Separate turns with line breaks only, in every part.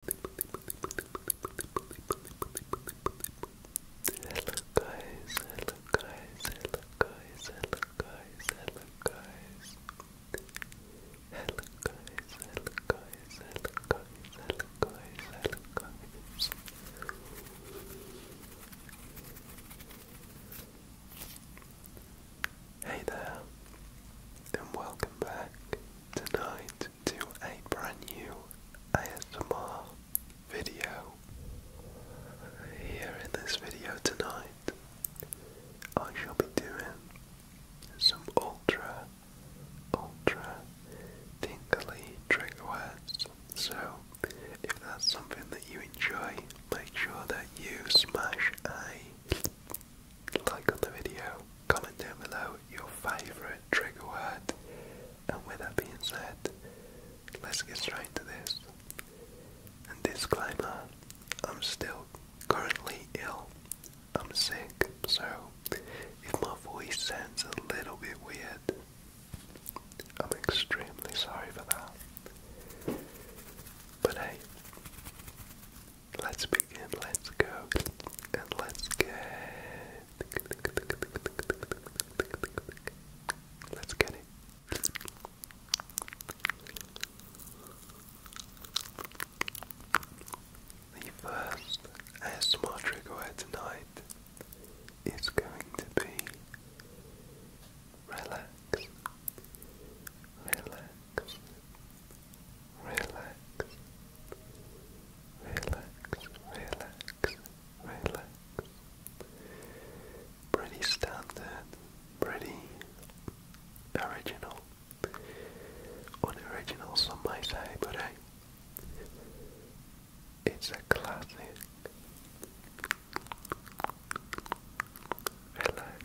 Hello guys, hello guys, hello guys, hello guys, hello guys. Hello guys, hello guys, hello guys, hello guys, hello guys. Hey there, and welcome back. Tonight to a brand new ASMR video. Here in this video tonight, I shall be doing some ultra, ultra tingly trigger words. So, if that's something that you enjoy, make sure that you smash a like on the video, comment down below your favourite trigger word, and with that being said, let's get straight to this. disclaimer, I'm still currently ill. I'm sick, so if my voice sounds a little bit weird, I'm extremely sorry for that. But hey, Let's begin, let's go, and let's get. Let's get it. The first ASMR trigger word tonight is going to be relax, relax, relax, relax, relax, relax. Pretty standard, pretty original. Unoriginal some might say, but hey, it's a classic. Relax,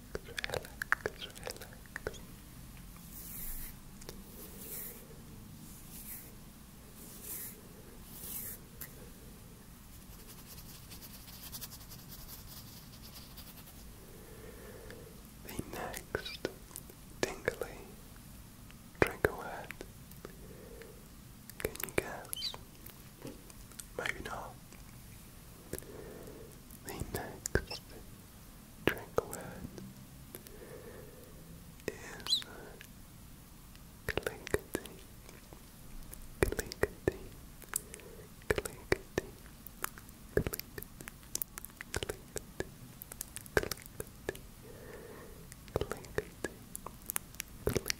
relax, relax. The next tingly trigger Can you guess Maybe not. The next drink word is clinkety, clinkety, clinkety, clinkety, clinkety, clinkety, clinkety, clinkety.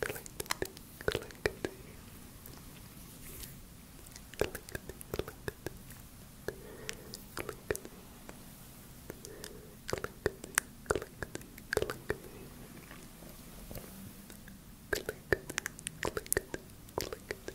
Clickety, clickety. Clickety, clickety. Clickety. Clickety, clickety, clickety. Clickety, clickety, clickety.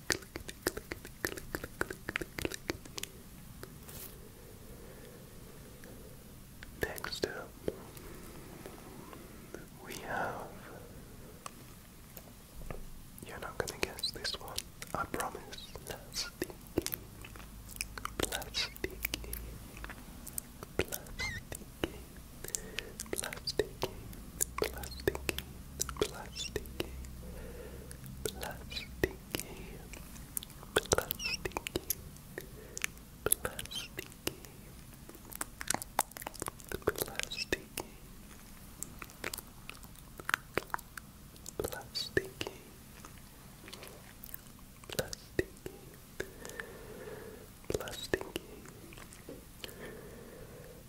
clickety, Next up, we have. You're not gonna guess this one, I promise game, plastic game, plastic plastic plastic plastic plastic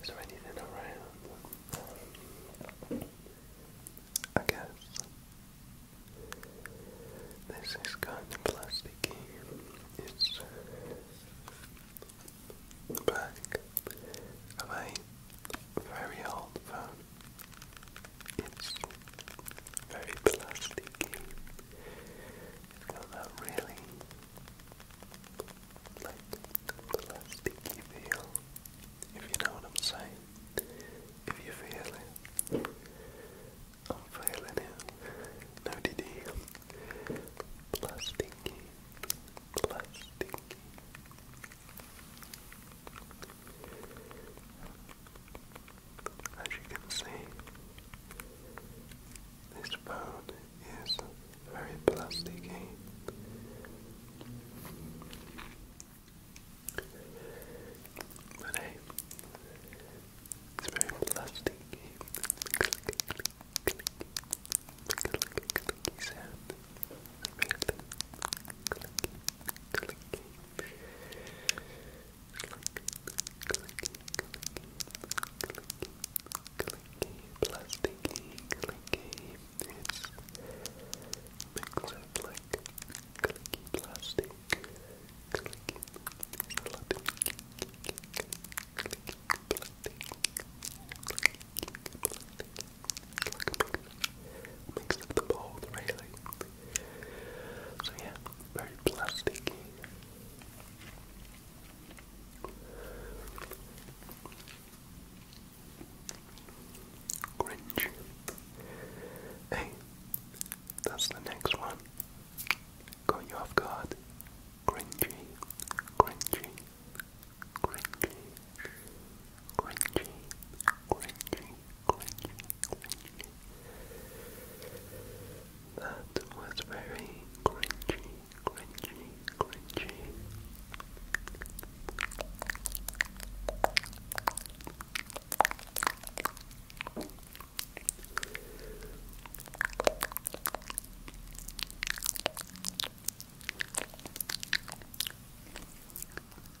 Is there anything around? I guess. This is kind of plasticky. It's the uh, back of a very old phone. It's very plasticky. It's got that really like plasticky feel. If you know what I'm saying. If you feel it. I'm feeling it. No DD. Plus dinky. As you can see, this phone is very plasticky. But hey, it's very plastic. Click, sound. Very thin. plasticky, it's mixed up like clicky plastic. Clicky plastic. plastic. Mixed up the really. So yeah, very plasticky. Grinch. Hey, that's the next one. Got you off guard. Grinchy, grinchy, grinchy, grinchy, grinchy, That was very cringy crunchy, crunchy.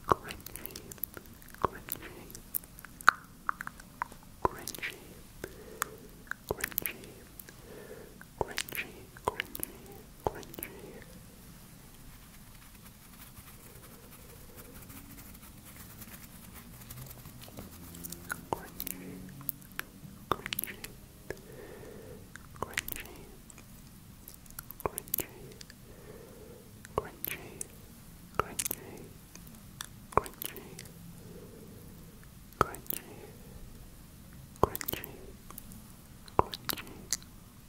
Crunchy, crunchy, crunchy, crunchy, Crunchy, crunchy, crunchy. Crunchy, crunchy, crunchy, crunchy, crunchy, crunchy, crunchy, crunchy, crunchy, crunchy,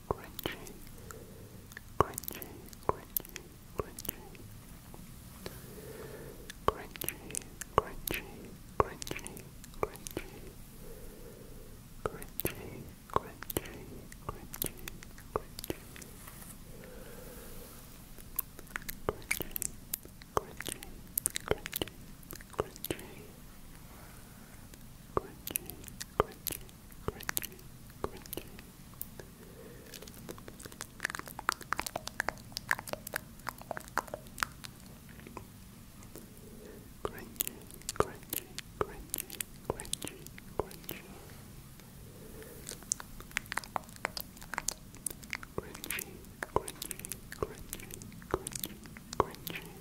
crunchy, crunchy, crunchy, crunchy, crunchy, crunchy, crunchy, crunchy, crunchy, crunchy, crunchy, crunchy. Crunchy, crunchy, crunchy, crunchy, crunchy, crunchy, crunchy, crunchy. Crunchy, crunchy, crunchy, crunchy, crunchy. Crunchy, crunchy, crunchy, crunchy, crunchy.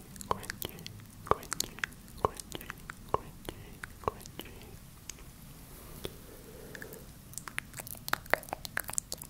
crunchy, crunchy, crunchy, crunchy, crunchy. Crunchy, crunchy, crunchy, crunchy, crunchy.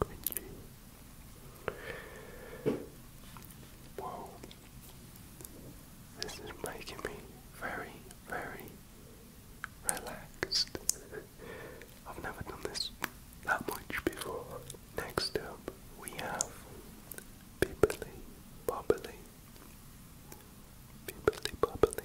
cringy. Whoa. This is making me very, very relaxed. I've never done this that much before. Next up, we have Bibbly Bobbly. Bibbly Bobbly.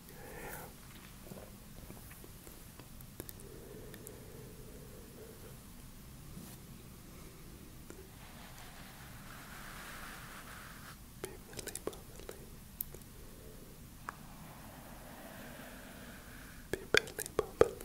Bibbly bobbly. Bibbly bobbly. Bibbly bobbly. Bibbly bobbly.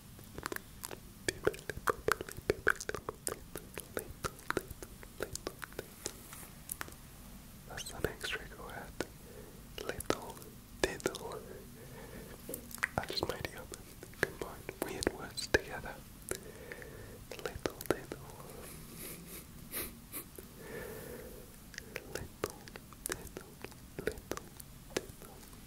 That's the next trigger word. Little diddle. I just made it up and combined weird words together. Little diddle. little Little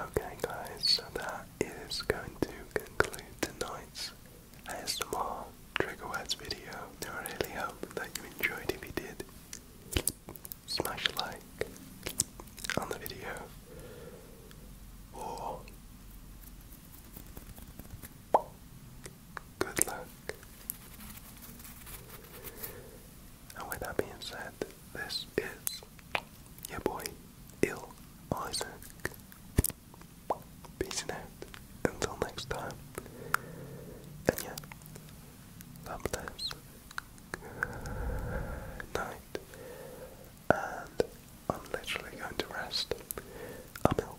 Okay, guys, so that is going to conclude tonight's ASMR Trigger Words video. I really hope that you enjoyed. If you did, smash a like on the video or good luck. And with that being said, this is your boy, Il Isaac. Peacing out until next time. And yeah, God bless. Good night. And I'm literally going to rest. I'm ill.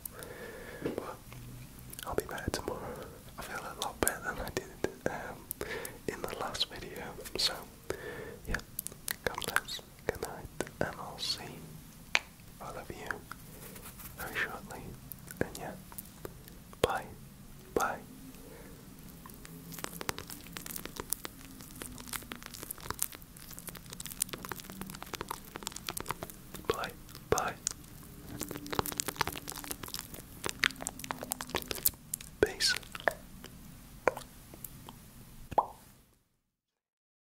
But I'll be better tomorrow. I feel a lot better than I did um, in the last video. So yeah, God bless good night, and I'll see you very shortly. And yeah, bye, bye. Bye, bye. Peace.